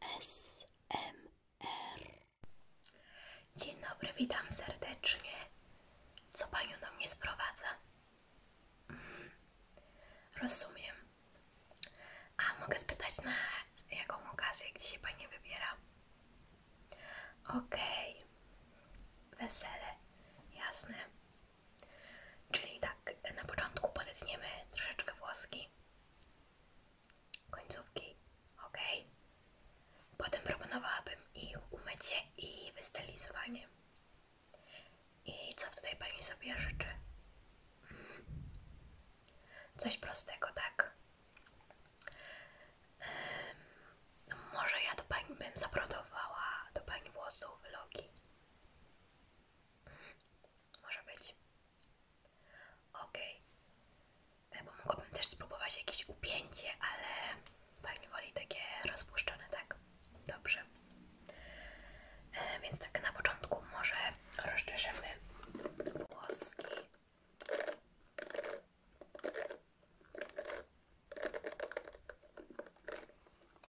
ASMR. Dzień dobry, witam serdecznie. Co panią do mnie sprowadza? Mm, rozumiem. A mogę spytać na jaką okazję, gdzie się pani wybiera? Okej. Wesele. Jasne. Czyli tak, na początku podetniemy troszeczkę włoski, końcówki, ok. Potem proponowałabym ich umycie i wystylizowanie. I co tutaj Pani sobie życzy? Hmm. Coś prostego, tak? może ja to Pani bym zaprodowała do Pani włosów vlogi. Hmm. Może być. Okej. E, bo mogłabym też spróbować jakieś upięcie, ale pani woli takie rozpuszczone, tak? Dobrze. E, więc tak na początku może rozczeszymy włoski.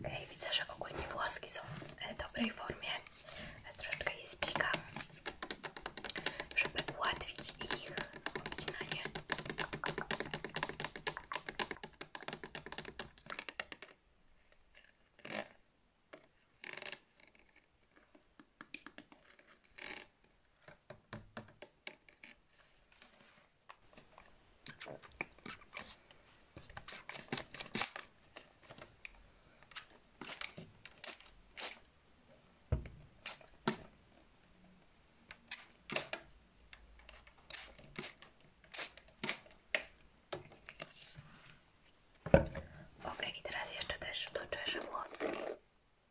Okay, widzę, że ogólnie włoski są w dobrej formie. Ja troszeczkę je spikam, żeby ułatwić ich obcinanie. Ok, i teraz jeszcze też doczeszę włosy.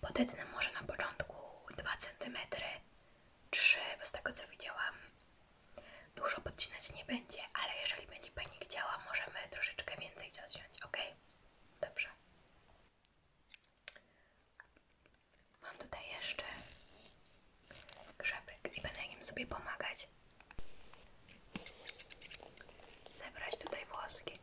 Podetnę może na początku 2 cm, 3 bo z tego co widziałam dużo podcinać nie będzie, ale jeżeli będzie Pani chciała, możemy troszeczkę więcej odciąć, ok? Dobrze. Mam tutaj jeszcze grzebek i będę nim sobie pomagać zebrać tutaj włoski.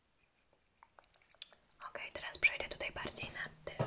Ok, teraz przejdę tutaj bardziej na tył.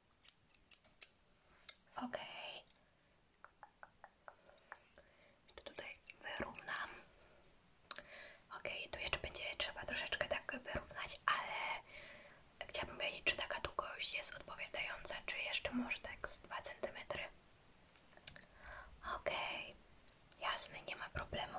Ok. Tu tutaj wyrównam. Ok, tu jeszcze będzie trzeba troszeczkę tak wyrównać, ale chciałabym wiedzieć, czy taka długość jest odpowiadająca, czy jeszcze może tak z 2 cm. Ok, jasne, nie ma problemu.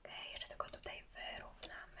Okej, jeszcze tylko tutaj wyrównamy.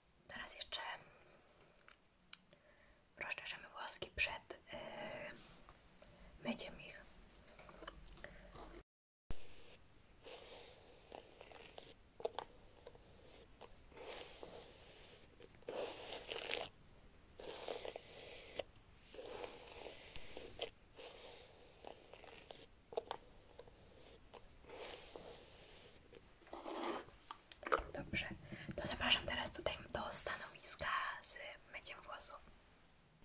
Teraz jeszcze rozszerzymy włoski przed yy, ich. Dobrze, to zapraszam teraz tutaj do stanowiska z myciem włosów.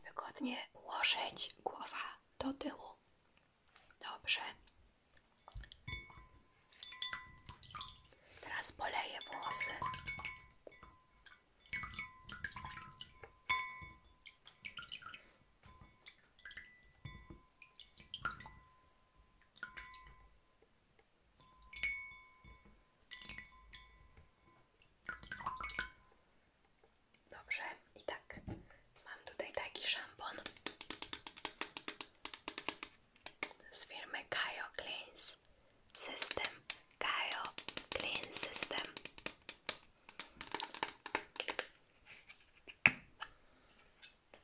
Wygodnie ułożyć głowa do tyłu. Dobrze. Teraz poleję włosy. Dobrze, i tak mam tutaj taki szampon z firmy Kajo Cleans System. Kajo Clean System.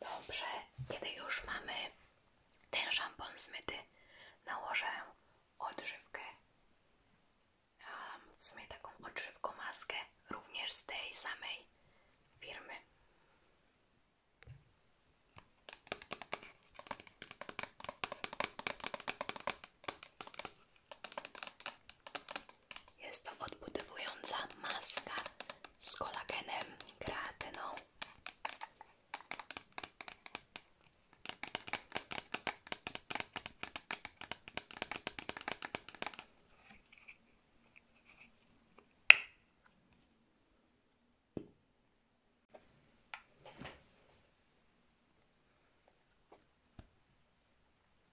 Dobrze, kiedy już mamy ten szampon zmyty, nałożę odżywkę. W sumie taką odżywką maskę, również z tej samej firmy. Jest to odbudowująca maska z kolagenem, kreatyną.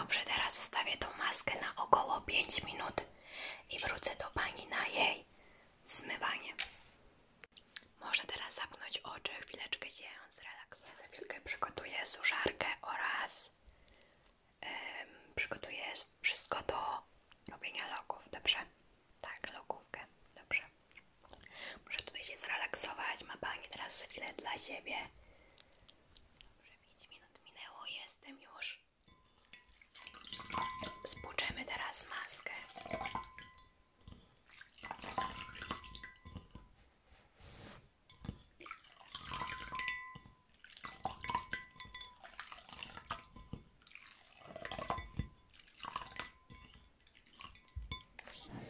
Dobrze, teraz zostawię tą maskę na około pięć minut i wrócę do pani na jej zmywanie. Może teraz zamknąć oczy, chwileczkę się zrelaksuję. Ja za chwilkę przygotuję suszarkę oraz przygotuję wszystko do robienia loków, dobrze? Tak, lokówkę, dobrze. Muszę tutaj się zrelaksować, ma pani teraz chwilę dla siebie. Dobrze, 5 minut minęło, jestem już Spłuczemy teraz maskę.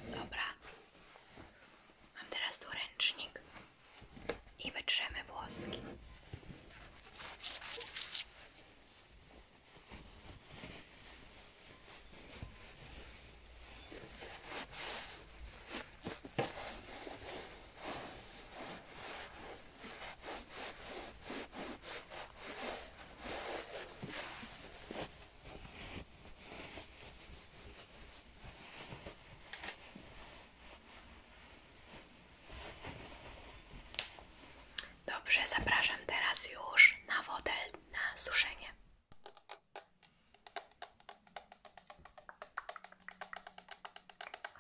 Dobra, mam teraz tu ręcznik i wytrzemy włoski. Dobrze, zapraszam teraz już na wodę na suszenie.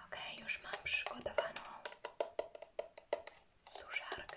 Ok, już mam przygotowaną suszarkę.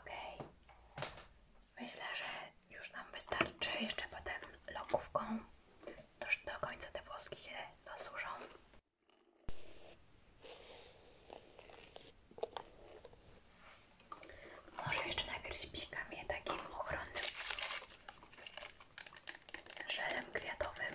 Okej, myślę, że już nam wystarczy jeszcze potem lokówką. Toż do końca te włoski się zasłużą. Może jeszcze najpierw psikam takim ochronnym żelem kwiatowym.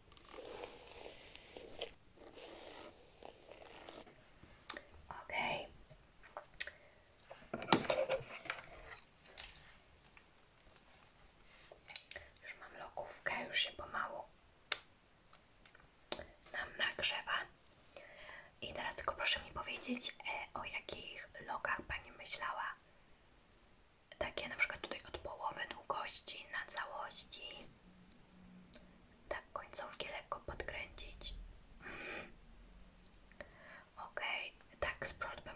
Ok. Już mam lokówkę, już się pomału nam nagrzewa. I teraz tylko proszę mi powiedzieć, e, o jakich lokach Pani myślała. Takie na przykład tutaj od połowy długości na całości. Tak, końcówki lekko podkręcić. Okej, okay. tak spróbuję bym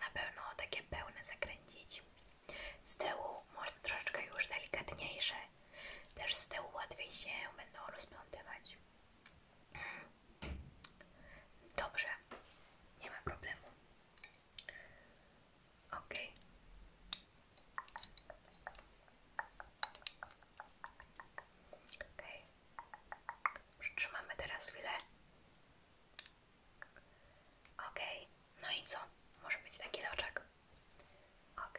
na pełno, takie pełne zakręcić. Z tyłu może troszeczkę już delikatniejsze. Też z tyłu łatwiej się będą rozplątywać. Dobrze, nie ma problemu. Ok. Ok. Przytrzymamy teraz chwilę. Ok. No i co? Może być taki loczek. Ok.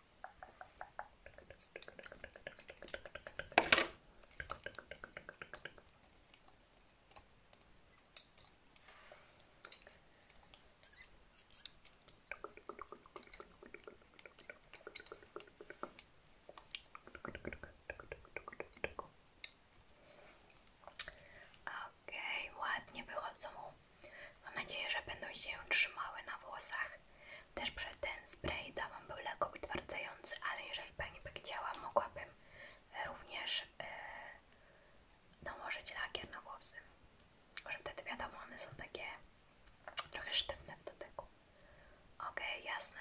Okej, okay, ładnie wychodzą Mam nadzieję, że będą się trzymały na włosach. Też przed ten spray dałam byłego utwardzający, ale jeżeli Pani by chciała, mogłabym również e, nałożyć lakier na włosy. Tylko, że wtedy wiadomo, one są takie trochę sztywne w dotyku. Ok, jasne.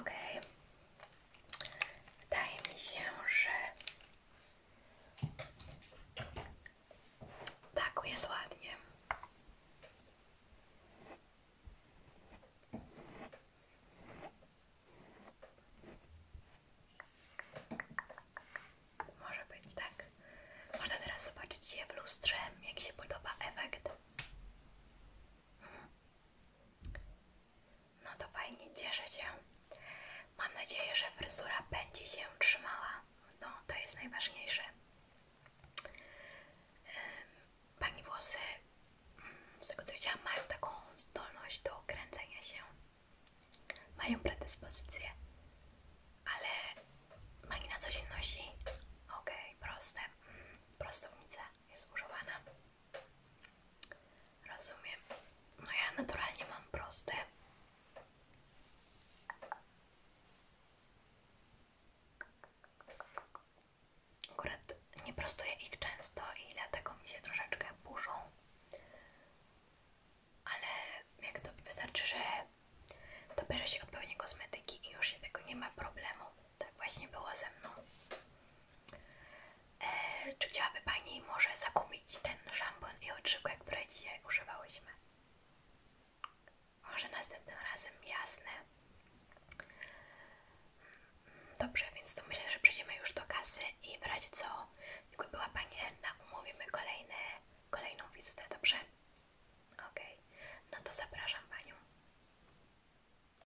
Ok. Wydaje mi się, że tak jest ładnie. Może być tak. Można teraz zobaczyć je w lustrze, jak podoba efekt. No to fajnie, cieszę się. Mam nadzieję, że fryzura będzie się trzymała. No, to jest najważniejsze. Pani włosy, z tego co widziałam, mają taką zdolność do kręcenia się. Mają predyspozycję. Ale pani na co dzień nosi? Okej, proste, proste. Mm, prostownica jest używana. Rozumiem. No ja naturalnie mam proste. Akurat nie prostuję ich często i dlatego mi się troszeczkę burzą. Ale jak to wystarczy, że dobierze się od odpowiednie kosmetyki i już się tego nie ma problemu. Tak właśnie było ze mną. E, czy chciałaby Pani może zakupić ten szampon i odżywkę, które dzisiaj używałyśmy? Może następnym razem, jasne. Dobrze, więc to myślę, że przejdziemy już do kasy i w razie co, jakby była Pani chętna, umówimy kolejne, kolejną wizytę, dobrze? Okej, no to zapraszam Panią.